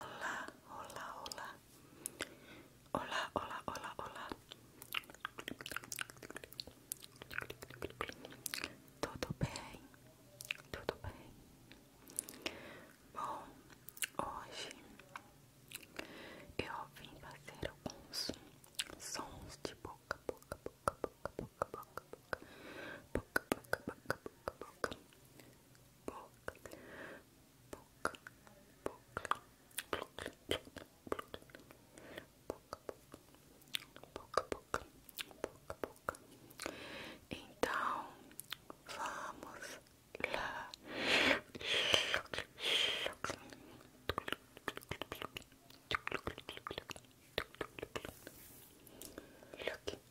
Olá, olá, olá. Olá, olá, olá, olá. Tudo bem? Tudo bem? Bom, hoje eu vim fazer alguns sons de boca, boca, boca, boca, boca, boca, boca, boca, boca, boca, boca, boca, boca, boca, boca, boca, boca, boca, boca, boca, boca, boca, boca. Então, vamos lá. Look.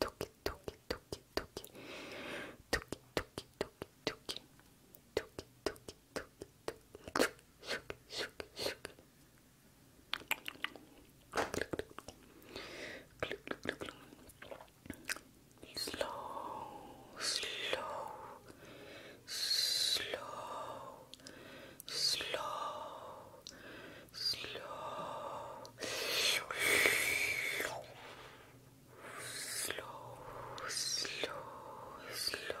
toki toki toki toki toki toki toki toki toki toki toki toki shook shook shook slow slow slow slow slow slow slow, slow, slow.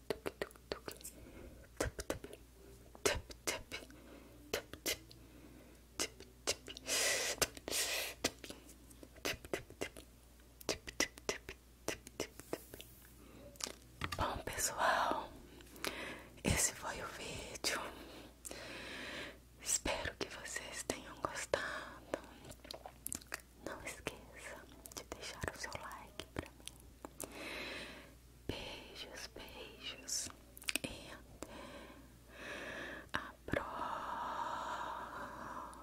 Bom, pessoal, esse foi o vídeo. Espero que vocês tenham gostado. Não esqueça de deixar o seu like pra mim. Beijos, beijos e até a próxima.